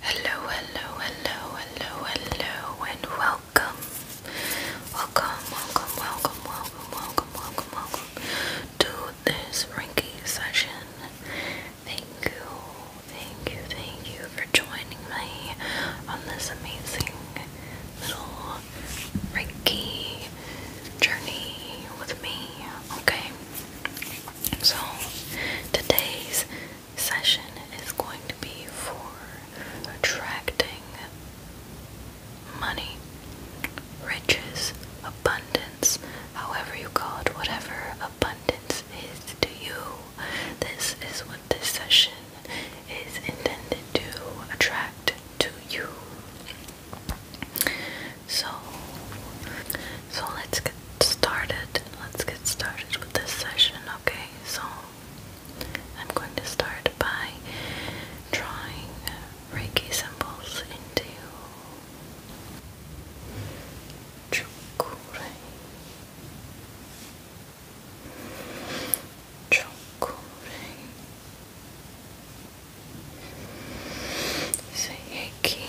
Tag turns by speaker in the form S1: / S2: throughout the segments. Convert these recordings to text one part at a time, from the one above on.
S1: Hello, hello, hello, hello, hello, and welcome. Welcome, welcome, welcome, welcome, welcome, welcome, to this Reiki session. Thank you, thank you, thank you for joining me on this amazing little Reiki journey with me, okay? So, today's session is going to be for attracting money, riches, abundance, however you call it, whatever abundance is to you. This is what this session is intended to attract to you. So, so let's get started. Let's get started with this session, okay? So, I'm going to start by drawing Reiki symbols into Chokure. Chokure. Sayaki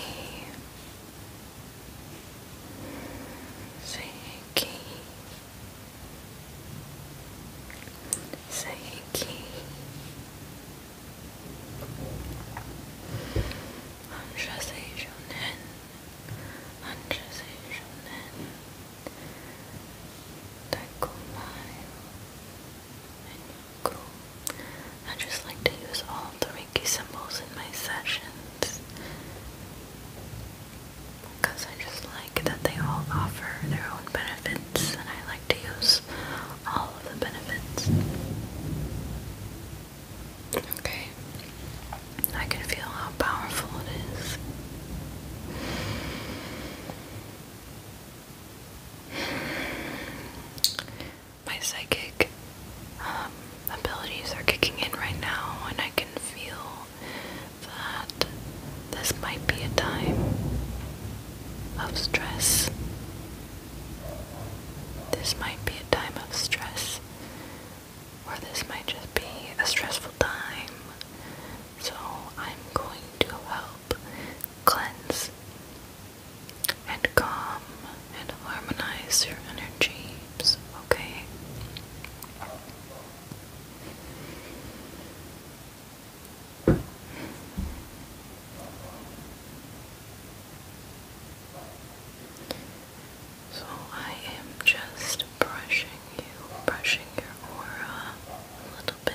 S1: Seki Seki Anja Seishonen Anja Seishonen Takumayo and Yoku I just like to use all three Reiki symbols in my sessions because I just like that they all offer their own benefits and I like to use all of the benefits. Okay, I can feel how powerful it is my psychic um, abilities are kicking in right now, and I can feel that this might be a time of stress. This might be a time of stress, or this might just be a stressful time. So, I'm going to help cleanse and calm and harmonize your energies, okay? So I am just brushing you, brushing your aura a little bit.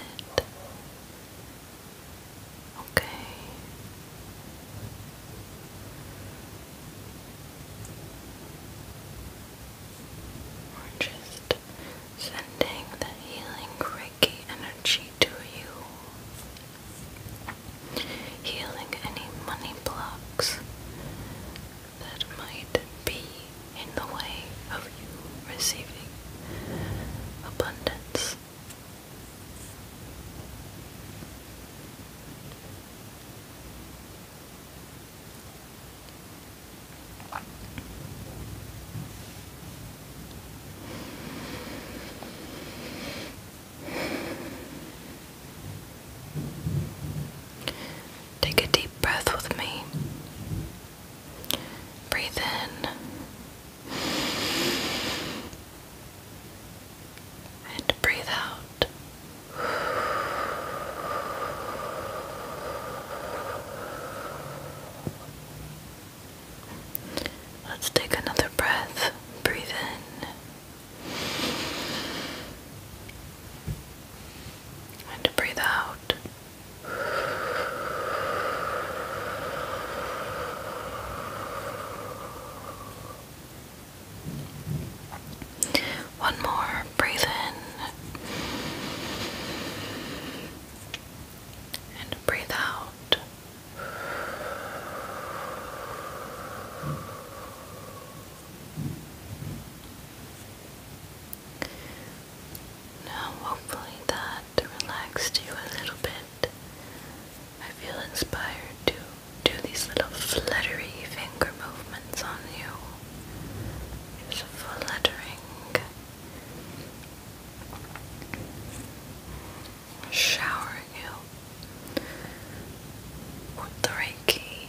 S1: Okay. We're just sending the healing Reiki energy to you, healing any money blocks that might be in the way of you receiving abundance. Take a deep breath with me. Breathe in and breathe out. Let's take another breath. Breathe in and breathe out. One more. Breathe in. And breathe out. Now, hopefully, that relaxed you a little bit. I feel inspired to do these little fluttery finger movements on you. fluttering. Showering you with the Reiki.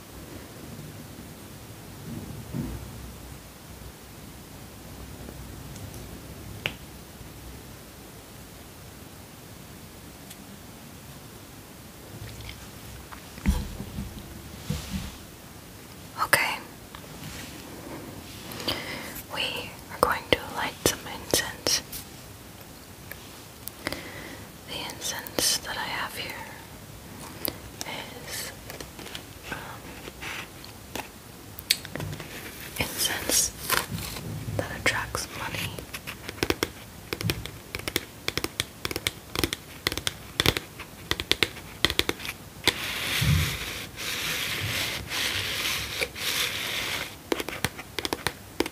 S1: Okay, we are going to light some incense. The incense that I have here is um, incense that attracts money.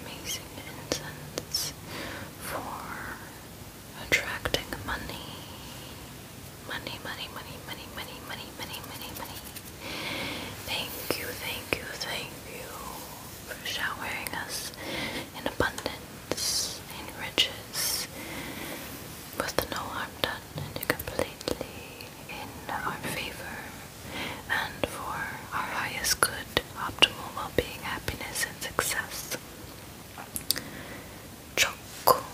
S1: amazing incense for attracting money. Money, money, money, money, money, money, money, money, money. Thank you, thank you, thank you for showering us in abundance, in riches, with no harm done and completely in our favor and for our highest good, optimal well-being, happiness, and success. Chokure.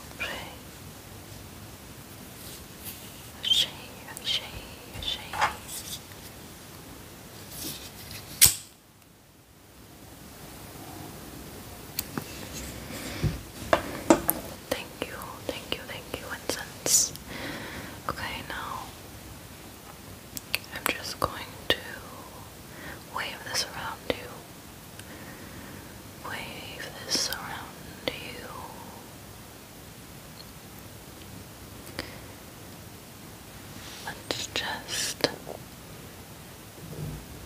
S1: Ashe, ashe, ashe. Thank you, thank you, thank you, incense. Okay, now I'm just going to wave this around you. Wave this around you. Let's just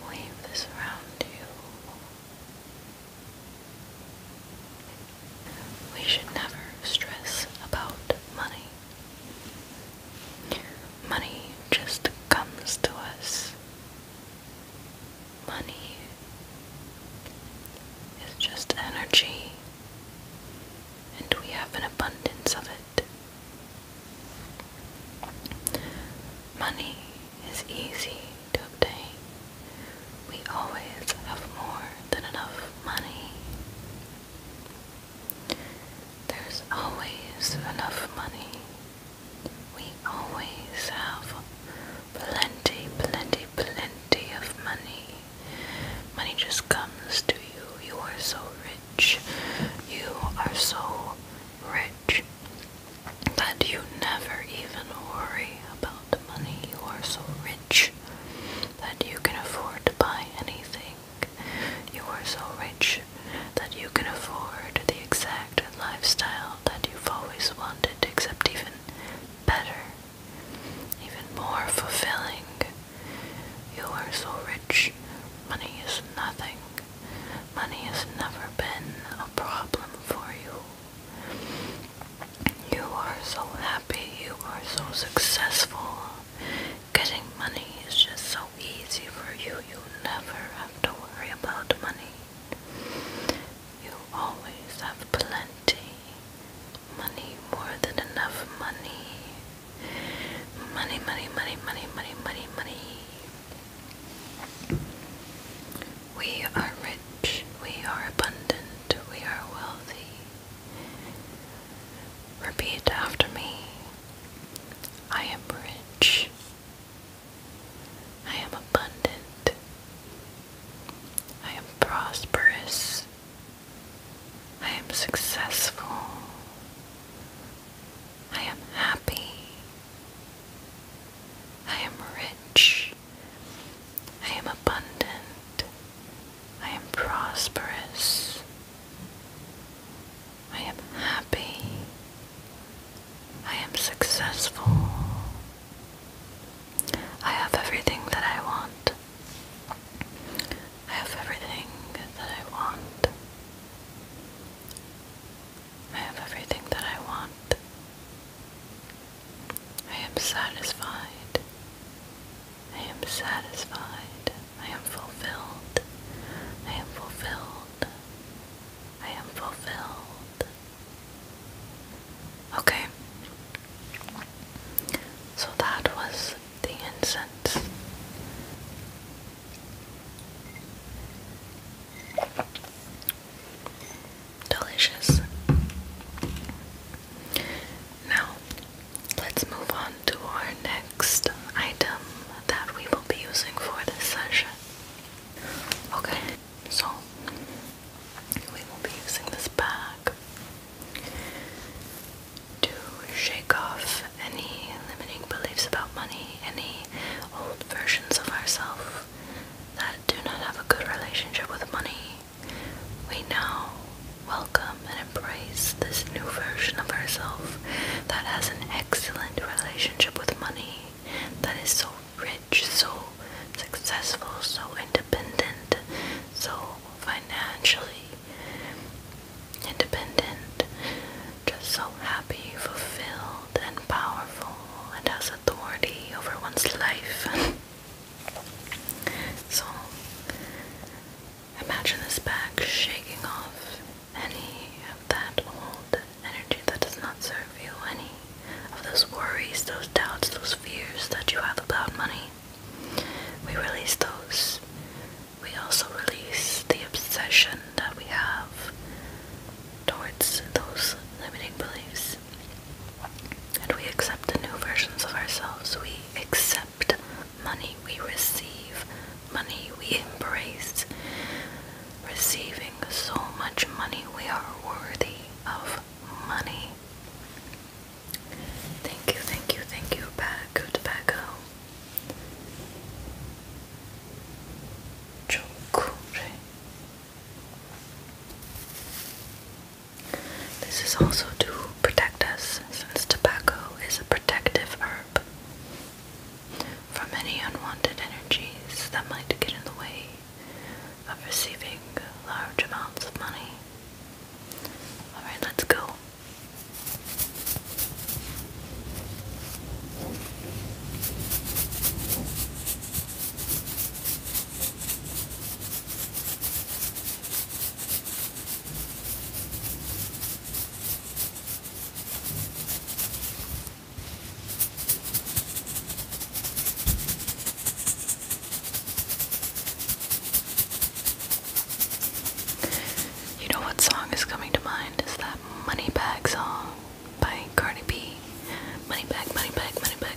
S1: wave this around you. We should never stress about money. Money just comes to us. Money is just energy, and we have an abundance of it. Money is easy to obtain we always have more than enough money. There's always enough money. We always have plenty, plenty, plenty of money. Money just comes to you. You are so rich. You are so rich that you never even worry about the money. You are so rich that you can afford to buy anything. You are so rich that you can afford the exact lifestyle that you've always wanted, except even better, even more fulfilling. You are so rich, money is nothing. Money has never been a problem for you. You are so happy, you are so successful. Getting money is just so easy for you, you never have to worry about money. You always have plenty. Money, more than enough money. Money, money, money, money, money, money, money. We are rich, we are abundant, we are wealthy. Repeat after me. I am rich. I am abundant. I am prosperous. I am successful. I am happy. I am rich. I am abundant. I am prosperous. I am happy. I am successful. I have everything that I want. I have everything that I want. I have everything that I want. I am satisfied. I am satisfied. I am fulfilled. I am fulfilled. I am fulfilled. Okay. So that was the incense delicious. Now, let's move on to our next item that we will be using for this session. Okay, so we will be using this bag to shake off any limiting beliefs about money, any old versions of ourselves that do not have a good relationship with money, we now welcome and embrace this new version of herself that has an excellent relationship with money, that is so rich, so successful, so independent, so financially independent, just so happy, fulfilled, and powerful, and has authority over one's life. So imagine this bag shaking off any of that old energy that does not serve you, any of those worries, those doubts, those fears that you have about money. We release those. We also release the obsession that we have towards those limiting beliefs days. And we accept the new versions of ourselves. We accept money we receive, money we embrace. Receiving so much money, we are worthy of money. Thank you, thank you, thank you, Bagu Tobacco. Chokure. This is also to protect us, since tobacco is a protective herb from any unwanted energies that might get in the way of receiving large amounts of money. Alright, let's go. You know what song is coming to mind? Is that Money Bag song by Cardi B? Money Bag, Money Bag, Money Bag.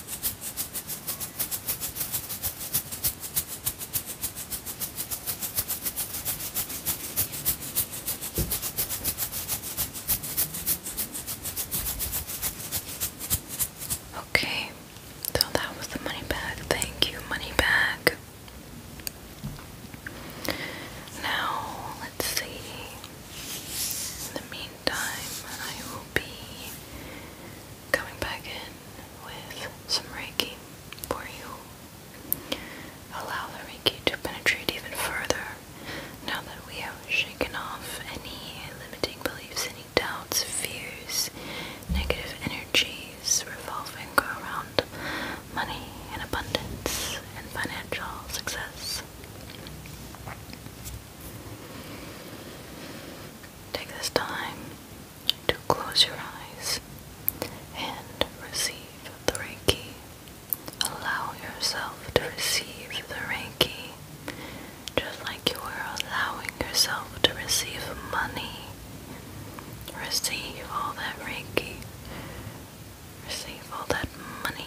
S1: Okay, so that was the money bag. Thank you, money bag. Now, let's see. the meantime, time, I will be coming back in with some Reiki for you. Allow the Reiki to penetrate even further now that we have shaken off any limiting beliefs, any doubts, fears, negative energies revolving around money and abundance and financial success. Take this time to close your eyes and receive the Reiki. Allow yourself to receive the Reiki just like you were allowing yourself to receive money. Receive all that Reiki. Receive all that money.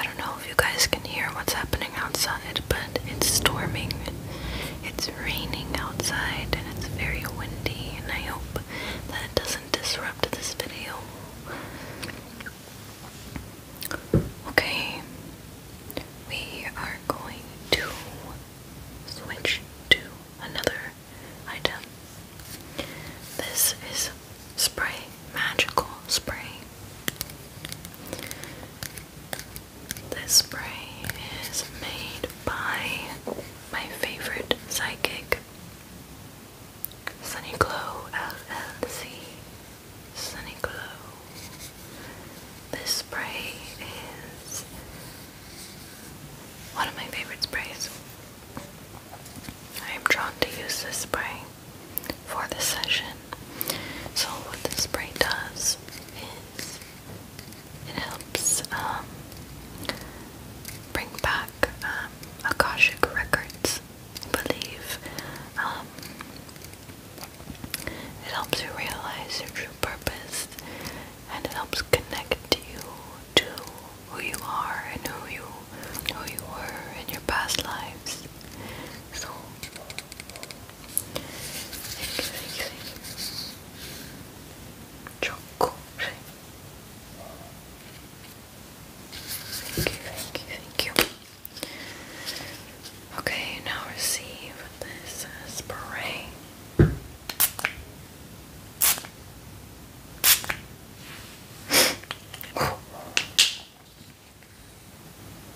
S1: I don't know if you guys can hear what's happening outside, but it's storming. It's raining outside and it's very windy, and I hope that it doesn't disrupt this video. Okay, we are going to switch to another item. This is spray, magical spray. This spray is made by my favorite psychic, Sunny Glow LLC. Sunny Glow. This spray is one of my favorite sprays. I am drawn to use this spray for the session. So what this spray does is it helps um, bring back um, Akashic records, I believe. Um, it helps you realize your true purpose and it helps connect you to who you are and who you who you were in your past lives. So Choco. Thank you, thank you, thank you. Okay, now receive this spray. I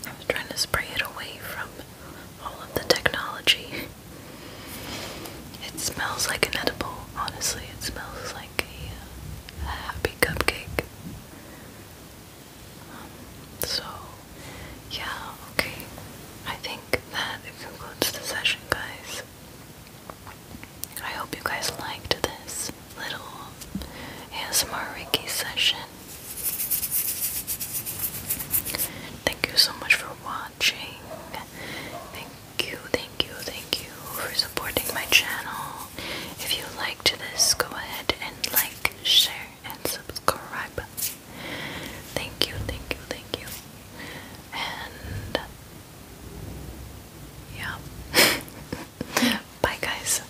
S1: was trying to spray it away from all of the technology. It smells like an edible, honestly. It smells like like a, happy cupcake. Um, so, yeah, okay. I think that concludes the session, guys. I hope you guys liked this little ASMR Reiki session. Thank you so much for watching you, thank you, thank you for supporting my channel. If you liked this, go ahead and like, share, and subscribe. Thank you, thank you, thank you. And yeah. Bye, guys.